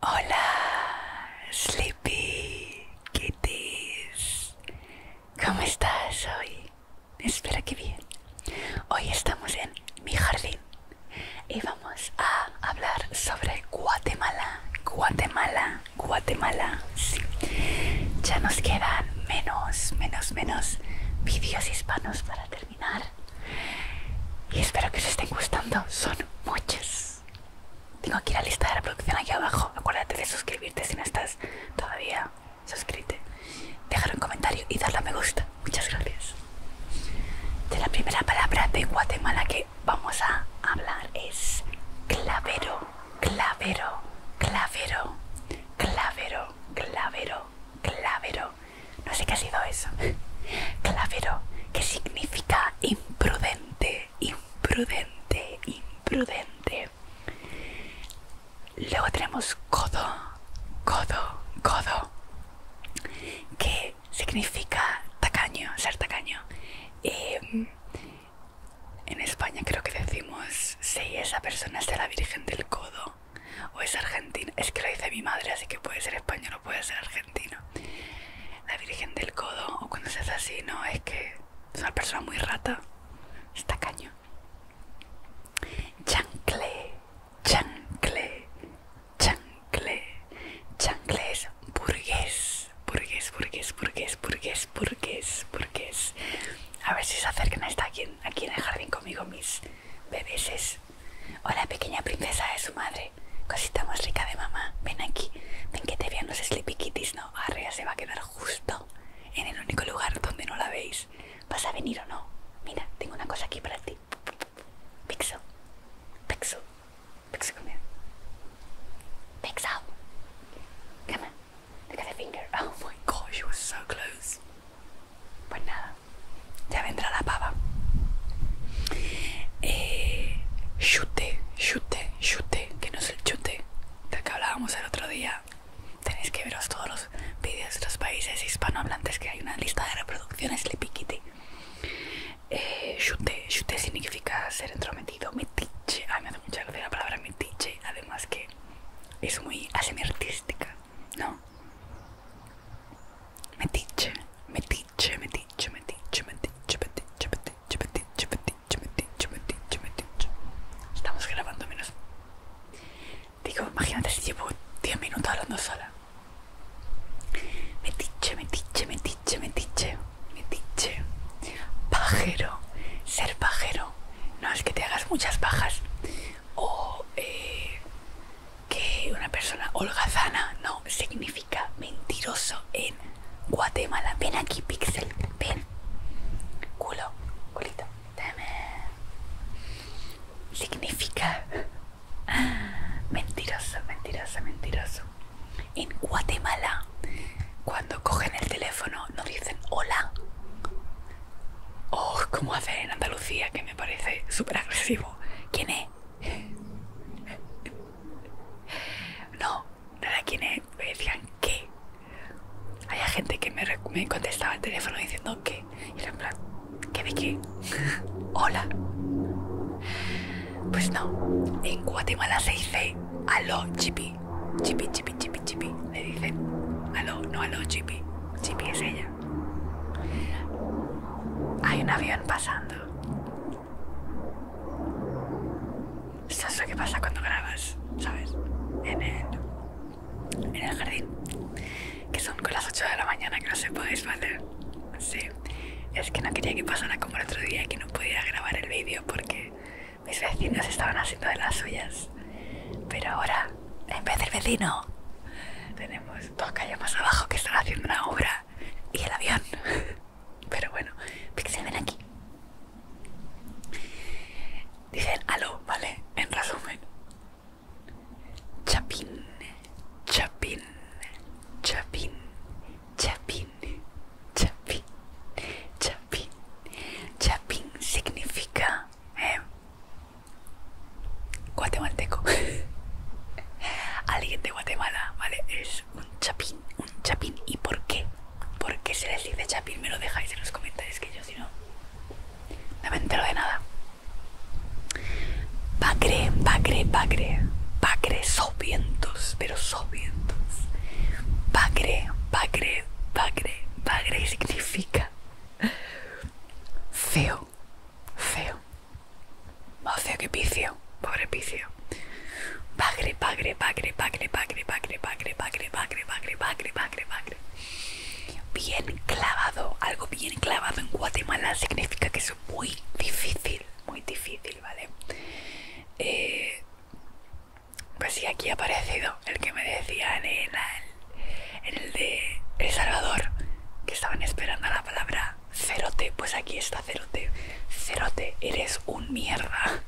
Hola, Sleepy Kitties. ¿Cómo estás hoy? ¡Espera que bien. Hoy estamos en mi jardín y vamos a hablar sobre Guatemala, Guatemala, Guatemala ya nos quedan menos menos menos vídeos hispanos para terminar y espero que os estén gustando son muchos tengo aquí la lista de la producción aquí abajo acuérdate de suscribirte si no estás todavía suscríbete, dejar un comentario y darle a me gusta muchas gracias de la primera palabra de Guatemala que vamos a hablar es clavero clavero, clavero, clavero, clavero, clavero. No sé qué ha sido eso. Clavero, que significa imprudente, imprudente, imprudente. Luego tenemos codo, codo, codo, que significa tacaño, ser tacaño. Em, en España creo que decimos si esa persona es de la Virgen del Codo o es argentina. Es que lo dice mi madre, así que puede ser español o puede ser argentino. La Virgen del Codo, o cuando se hace así, no, es que es una persona muy rata. Está caño. Chancle, chancle, chancle. Chancle es burgués, burgués, burgués, burgués, burgués por porque es, porque es. A ver si se acercan está aquí, aquí en el jardín conmigo mis bebéses. Hola pequeña princesa de su madre, cosita más rica de mamá, ven aquí, ven que te vean los sleepy kitties, no, Arria se va a quedar justo en el único lugar donde no la veis. ¿Vas a venir o no? Mira, tengo una cosa aquí para ti. Pixel, pixel, pixel, Pixel, come Look at finger. Oh my gosh, you were so close. Pues nada, ya vendrá la pava. Eh, chute, chute, chute, que no es el chute del que hablábamos el otro día. Tenéis que veros todos los vídeos de los países hispanohablantes que hay una lista de reproducciones Lipiquiti. Eh, chute, chute significa ser entrometido, metiche. Ay, me hace mucha gracia la palabra metiche. Además que es muy artística, ¿no? Metiche, metiche, metiche, metiche, metiche, metiche, metiche, metiche, metiche, metiche, metiche, metiche. Estamos grabando menos. Digo, imagínate si llevo 10 minutos hablando sola. Metiche, metiche, metiche, metiche, metiche. Pajero, ser pajero no es que te hagas muchas bajas o eh, que una persona holgazana no significa mentiroso en Guatemala. Ven aquí, Pixel, ven. Culo, culito, dame. Significa mentiroso, mentiroso, mentiroso. En Guatemala, cuando cogen el teléfono, no dicen hola, Oh, ¿cómo hacer en Andalucía? Que me parece súper agresivo. ¿Quién es? No, nada quién es. Me decían qué. Había gente que me, contestaba al teléfono diciendo qué. Y era en plan, ¿qué de qué? Hola. Pues no, en Guatemala se dice aló, chippy Chippy, Chippy, Chippy, Chippy, Le dicen. aló, no aló, Chippy. Chippy es ella. Hay un avión pasando. Eso es lo que pasa cuando grabas, ¿sabes? En el, el jardín. Que son con las 8 de la mañana que no se puede hacer. Sí. Es que no quería que pasara como el otro día y que no podía grabar el vídeo porque mis vecinos estaban haciendo de las suyas. Pero ahora, en vez del vecino, tenemos dos calles más abajo que están haciendo una obra y el avión. Pero bueno, se ven aquí. Dicen aló, ¿vale? En resumen. Chapín, chapín, chapín, chapín, chapín, chapín, Chapín significa eh, guatemalteco. Alguien de Guatemala, ¿vale? Es un chapín, un chapín. ¿Y por qué? ¿Por qué se les dice chapín? Me lo dejáis en los comentarios que yo si no, no me entero de nada. Pacre, pacre, pacre. Pacre, sopientos, pero sopientos. Pacre, pacre, pacre, pacre significa significa feo, feo, más feo que picio, pobre picio. pagre, bagre, bagre, bagre, bagre, bagre, bagre, bagre, bagre, bagre, bagre, bagre, bagre. Bien clavado, algo bien clavado en Guatemala significa que es muy difícil, muy difícil, ¿vale? Eh, pues sí, aquí ha aparecido el que me decían en el, de El Salvador, que estaban esperando la palabra cerote. Pues aquí está cerote. Cerote, eres un mierda.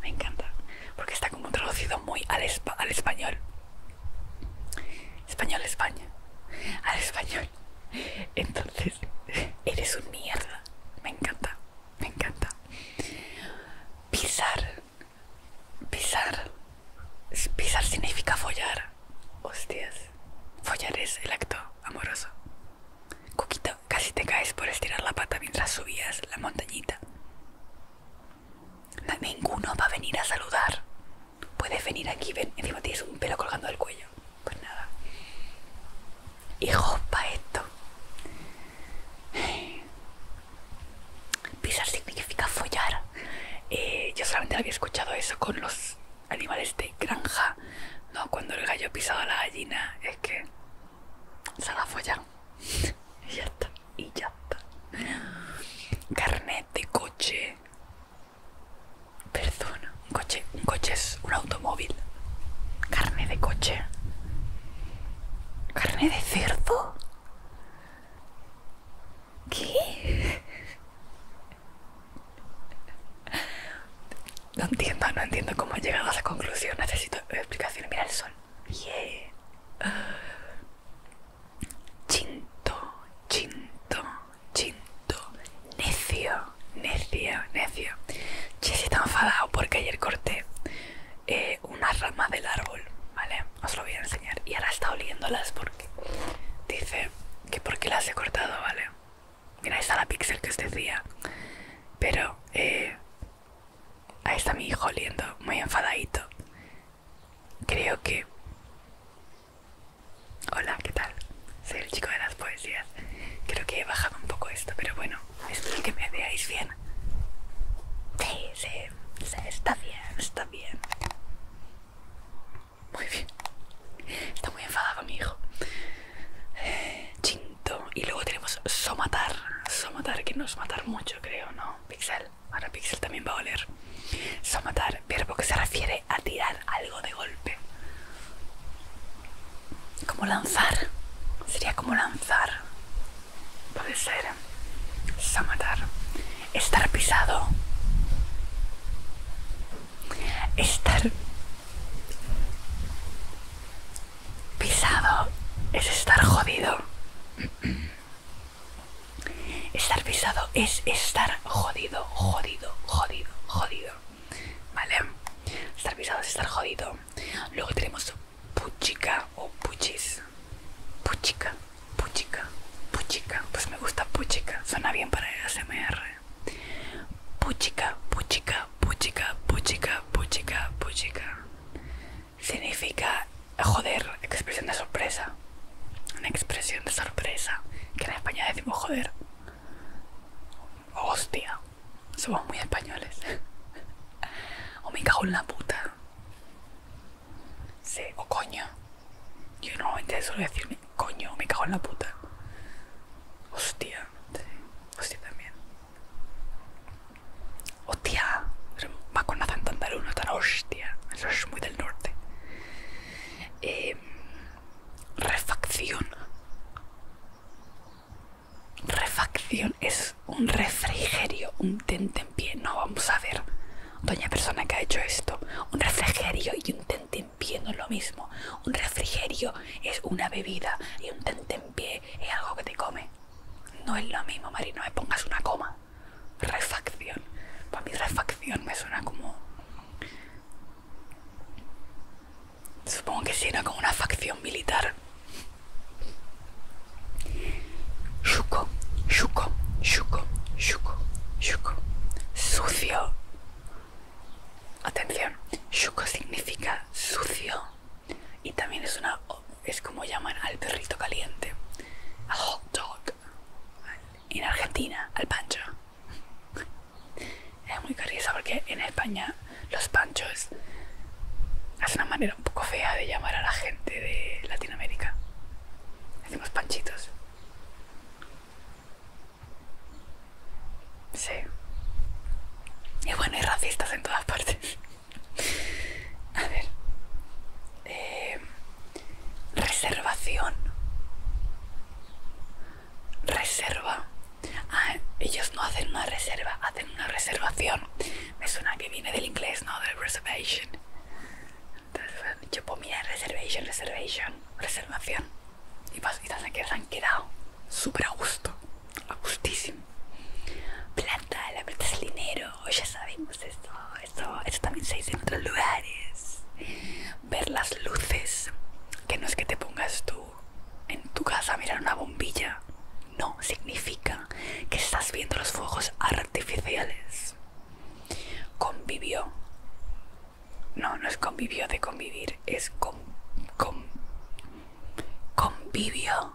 Me encanta, porque está como traducido muy al, español al español. Español, España. Al español. Entonces, eres un mierda. Me encanta, me encanta. Pisar Pisar. Pisar significa follar. Hostias. Follar es el acto amoroso. Coquito, casi te caes por estirar la pata mientras subías la montañita. ninguno va a venir a saludar. Puedes venir aquí, ven. Encima tienes un pelo colgando del cuello. Pues nada. Hijo, pa' esto. Pisar significa follar. Eh, yo solamente había escuchado eso con los animales de granja. No, cuando el gallo pisaba a la gallina, es que se la follan. y ya está, y ya está. Carnet de coche. Perdón, un coche, un coche es un automóvil. Carne de coche. Carne de cerdo. ¿Qué? No entiendo, no entiendo cómo he llegado a esa conclusión. Necesito explicación. Mira el sol. Chinto, chinto, chinto. Necio, necio, necio. Che, si está enfadado porque ayer corté. Eh, una rama del árbol, ¿vale? Os lo voy a enseñar. Y ahora está oliéndolas porque dice que porque las he cortado, ¿vale? Mira, ahí está la pixel que os decía. Pero, eh, ahí está mi hijo oliendo, muy enfadadito. Creo que... Hola, ¿qué tal? Soy el chico de las poesías. Creo que he bajado un poco esto, pero bueno espero que me veáis bien. Sí, sí, está bien, está bien. Muy bien. Está muy enfadado mi hijo. chinto. Y luego tenemos somatar. Somatar, que no es matar mucho, creo, ¿no? Pixel. Ahora Pixel también va a oler. Somatar, verbo que se refiere a tirar algo de golpe. Como lanzar. Sería como lanzar puede ser Samatar, estar pisado, estar pisado es estar jodido, estar pisado es estar jodido, jodido, jodido, jodido, ¿vale? Estar pisado es estar jodido. Luego tenemos puchica o puchis. Puchica, puchica, puchica. Pues me gusta puchica. Suena bien para el ASMR. Puchica, puchica, puchica, puchica, puchica, puchica. Significa joder, expresión de sorpresa. Una expresión de sorpresa. Que en España decimos joder. Hostia. Somos muy españoles. o me cago en la puta. Sí, o coño. Yo normalmente suelo decirme coño, me cago en la puta. Hostia, hostia también. Hostia, va con tan de uno tan hostia. Eso es muy del norte. Em, refacción. Refacción es un refrigerio, un tentempié, no vamos a ver, doña persona que ha hecho esto, un refrigerio y un tentempié no es lo mismo, un refrigerio es una bebida y un tentempié es algo que te come, no es lo mismo Mari, no me pongas una coma, refacción, para mí refacción me suena como, supongo que suena como una facción militar Suco, suco, suco, suco, suco, Sucio. Atención, suco significa sucio. Y también es una. es como llaman al perrito caliente. Al hot dog. En Argentina, al pancho. Es muy curioso porque en España los panchos es una manera un poco fea de llamar a la gente de Latinoamérica. Decimos panchitos. Sí. Y bueno, hay racistas en todas partes. A ver. Eh, reservación. Reserva. Ah, ellos no hacen una reserva, hacen una reservación me suena que viene del inglés, ¿no? Del reservation. Entonces yo puedo mira, reservation, reservation, reservación. Y pues y que se han quedado súper a gusto, a gustísimo. Plata, la plata es el dinero, ya sabemos pues eso, esto, esto también se dice en otros lugares. Ver las luces, que no es que te pongas tú en tu casa a mirar una bombilla no significa que estás viendo los fuegos artificiales. Convivió. No, no es convivió de convivir, es con, convivio,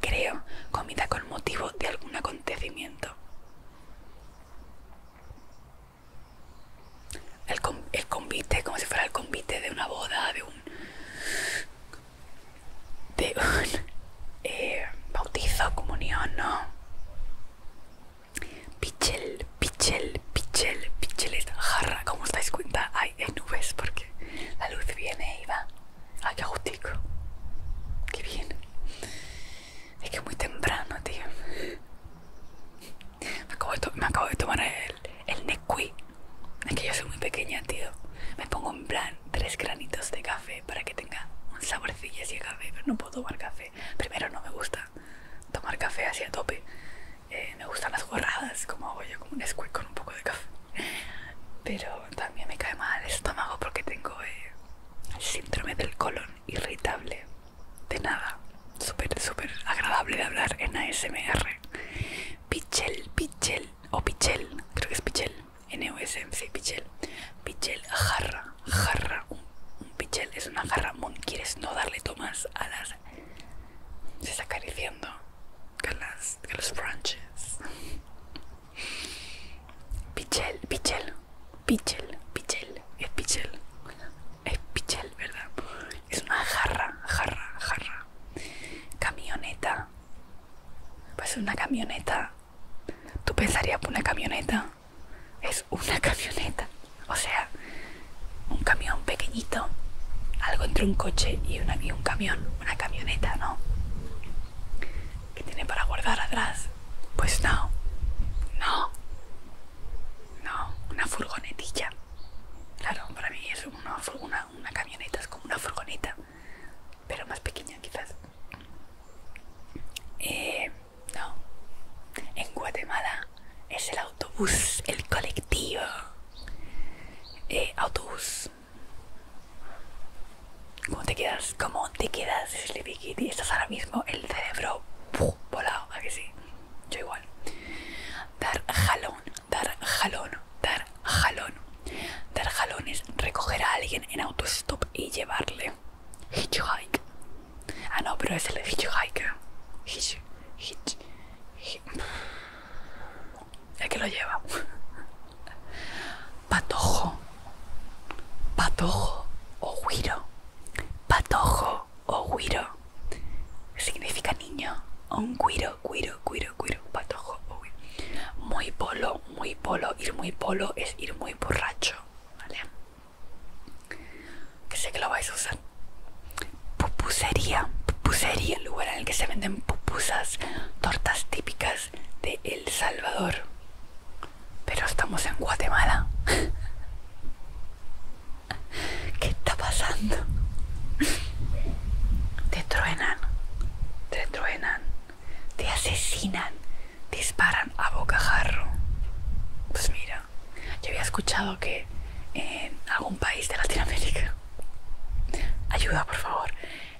creo, comida con motivo de algún acontecimiento. el convite, como si fuera el convite de una boda, de un de un eh, bautizo, comunión, ¿no? Pichel, pichel, pichel, es jarra, como os dais cuenta, hay nubes porque la luz viene y va. ¡Ay, qué agustico! que bien! Es que es muy temprano, tío. Me acabo de, tomar el, el Es que yo soy muy pequeña, tío. Me pongo en plan tres granitos de café para que tenga un saborcillo así de café, pero no puedo tomar café. Primero no me gusta tomar café así a tope. Eh, me gustan las gorradas, como hago yo, como un squirt con un poco de café. Pero también me cae mal el estómago porque tengo eh, el síndrome del colon irritable. De nada. Súper, súper agradable de hablar en ASMR. Pichel, pichel o Pichel, creo que es Pichel, m c Pichel, Pichel jarra, jarra, un, Pichel es una jarra, Mon, ¿quieres no darle tomas a las... se está acariciando con, las, con los branches? Pichel, Pichel, Pichel, Pichel, es Pichel, es Pichel, ¿verdad? Es una jarra, jarra, jarra, camioneta, pues una camioneta Tú pensarías una camioneta. Es una camioneta. O sea, un camión pequeñito. Algo entre un coche y, un camión. Una camioneta, ¿no? ¿Qué tiene para guardar atrás. Pues no. No. No. Una furgonetilla. Claro, para mí es una, una, una camioneta, es como una furgoneta pero más pequeña quizás. Eh, no, en Guatemala es el autobús, el colectivo. Eh, autobús. ¿Cómo te quedas? ¿Cómo te quedas, Sleepy Kitty? Estás ahora mismo el cerebro volado, ¿a que sí? Yo igual. Dar jalón, dar jalón, dar jalón. Dar jalón es recoger a alguien en autostop y llevarle. Hitchhike. Ah, no, pero es el hitchhiker. Hitch, El que lo lleva. Patojo. Patojo o guiro. Patojo o guiro. Significa niño. un guiro, guiro, guiro. Muy polo, muy polo, ir muy polo es ir muy borracho, ¿vale? Que sé que lo vais a usar. Pupusería, pupusería, el lugar en el que se venden pupusas, tortas típicas de El Salvador. Pero estamos en Guatemala. ¿Qué está pasando? Te truenan, te truenan te asesinan, disparan a bocajarro. Pues mira, yo había escuchado que en algún país de Latinoamérica, ayuda por favor,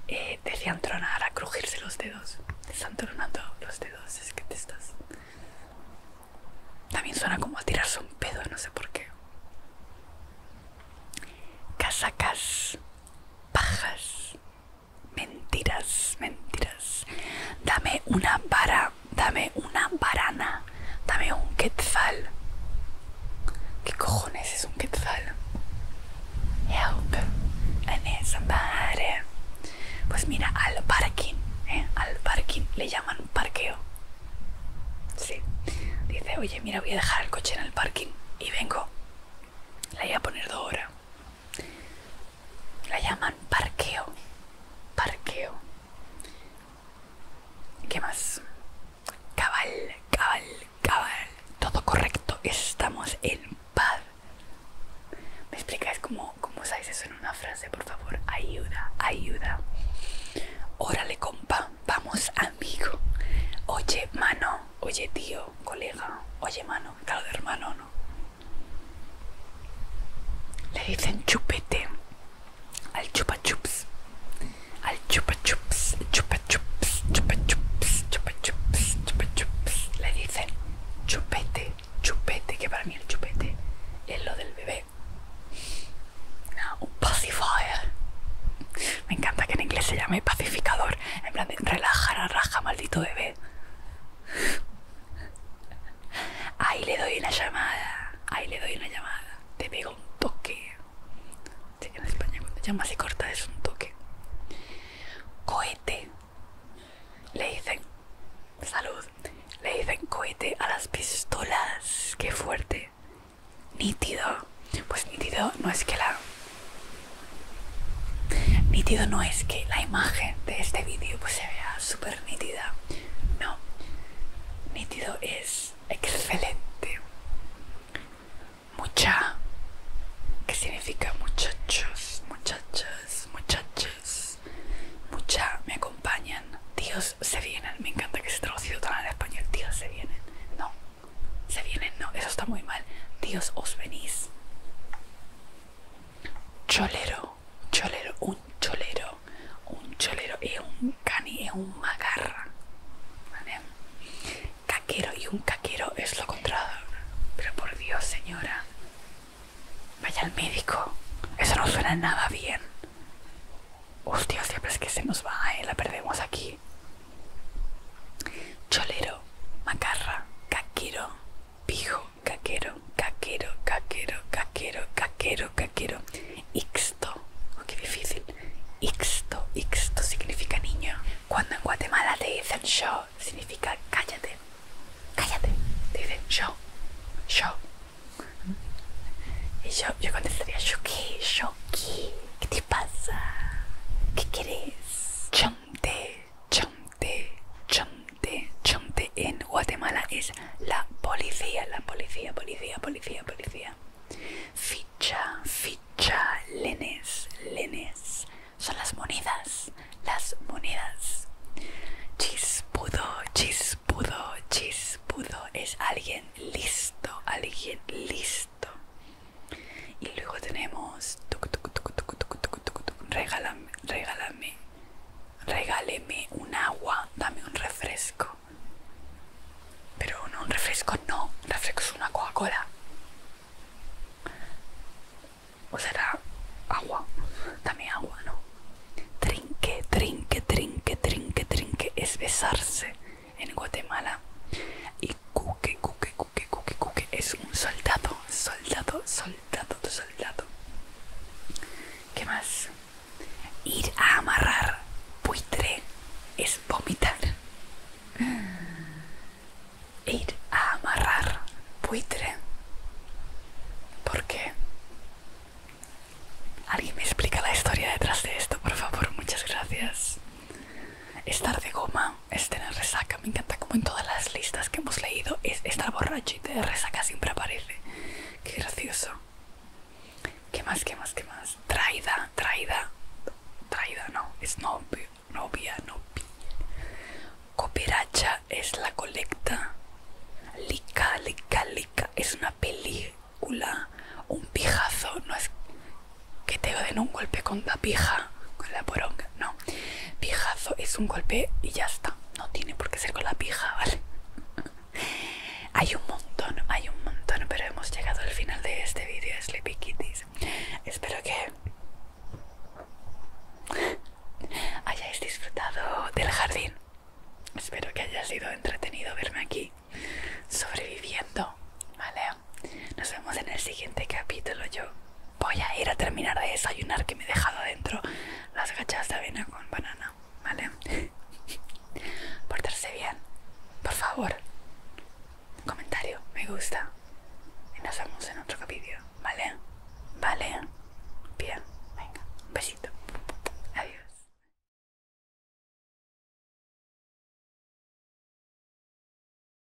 eh, decían tronar a crujirse los dedos. Te están tronando los dedos, es que te estás. También suena como a tirarse un pedo, no sé por qué. Casacas, pajas, Mentiras, mentiras. Dame una vara, dame una varana, dame un quetzal. ¿Qué cojones es un quetzal? Help, I need Pues mira, al parking, ¿eh? al parking le llaman parqueo. Sí, dice, oye, mira, voy a dejar el coche en el parking y vengo. La voy a poner dos hora. La llaman parqueo. Parqueo. ¿Qué más? Cabal, cabal, cabal. Todo correcto. Estamos en paz. ¿Me explicáis cómo, cómo sabes eso en una frase, por favor? Ayuda, ayuda. Órale, compa. Vamos, amigo. Oye, mano. Oye, tío, colega. Oye, mano. Caro de hermano, ¿no? Le dicen chupete al chupa chups, al chupa chups, chupa chups, chupa chups, chupa chups, chupa chups. Le dicen chupete, chupete, que para mí el chupete es lo del bebé. Un pacifier. Me encanta que en inglés se llame pacificador. En plan de relajar, raja, maldito bebé. Ahí le doy una llamada. Ahí le doy una llamada. Te pego un toque. en España cuando llamas y corta es un toque. Cohete. Le dicen. Salud. Le dicen cohete a las pistolas. Qué fuerte. Nítido. Pues nítido no es que la Nítido no es que la imagen de este vídeo pues, se vea súper nítida, no. Nítido es excelente. Mucha, que significa muchachos, muchachas, muchachos. Mucha, me acompañan. Tíos se vienen. Me encanta que se traducido todo al español. Tíos se vienen. No. Se vienen, no, eso está muy mal. Dios os venís. Cholero, cholero, un cholero. Un cholero es un cani, es un magarra. Caquero y un caquero es lo contrario. Pero por Dios, señora. Vaya al médico. Eso no suena nada bien. Hostia, siempre es que se nos va, ¿eh? La perdemos aquí. Cholero, macarra, caquero, pijo, caquero, caquero, caquero, caquero, caquero, caquero, ixto, oh, qué difícil, ixto, ixto significa niño. Cuando en Guatemala te dicen yo, significa cállate, cállate, te dicen yo, yo. Y yo, yo contestaría, ¿yo qué? ¿Yo qué? ¿Qué te pasa? ¿Qué quieres? Chonte Chonte, chonte, chonte en Guatemala es la policía, la policía, policía, policía, policía. Ficha, ficha, lenes, lenes. Son las monedas, las monedas. Chispudo, chispudo, chispudo. Es alguien listo, alguien listo. Y luego tenemos regálame, regálame, regáleme un agua, dame un refresco. Pero no, un refresco no, un refresco es una Coca-Cola. O será agua, dame agua, ¿no? Trinque, trinque, trinque, trinque, trinque, es besarse en Guatemala. Y cuque, cuque, es un soldado, soldado, soldado, soldado. ¿Qué más? Ir a amarrar buitre es vomitar. Ir a amarrar buitre. ¿Por qué? Alguien me explica la historia detrás de esto, por favor, muchas gracias. Estar de goma es tener resaca. Me encanta como en todas las listas que hemos leído esta borrachita de y resaca siempre aparece. Qué gracioso. ¿Qué más? ¿Qué más? ¿Qué más? Traida, traida, traida, no, es novia, novia, novia. Copiracha es la colecta. Lica, lica, lica, es una película. Un pijazo, no es que te den un golpe con la pija, con la poronga, no. Pijazo es un golpe y ya está, no tiene por qué ser con la pija, ¿vale? hay un montón, hay un montón, pero hemos llegado al final de este vídeo, Sleepy Kitties. Espero que hayáis disfrutado del jardín. Espero que haya sido entretenido verme aquí sobreviviendo, ¿vale? Nos vemos en el siguiente capítulo. Yo voy a ir a terminar de desayunar que me he dejado adentro las gachas de avena con banana, ¿vale? Portarse bien, por favor. Comentario, me gusta. Y nos vemos en otro capítulo, ¿vale? Vale. Bien, venga. Un besito. Adiós.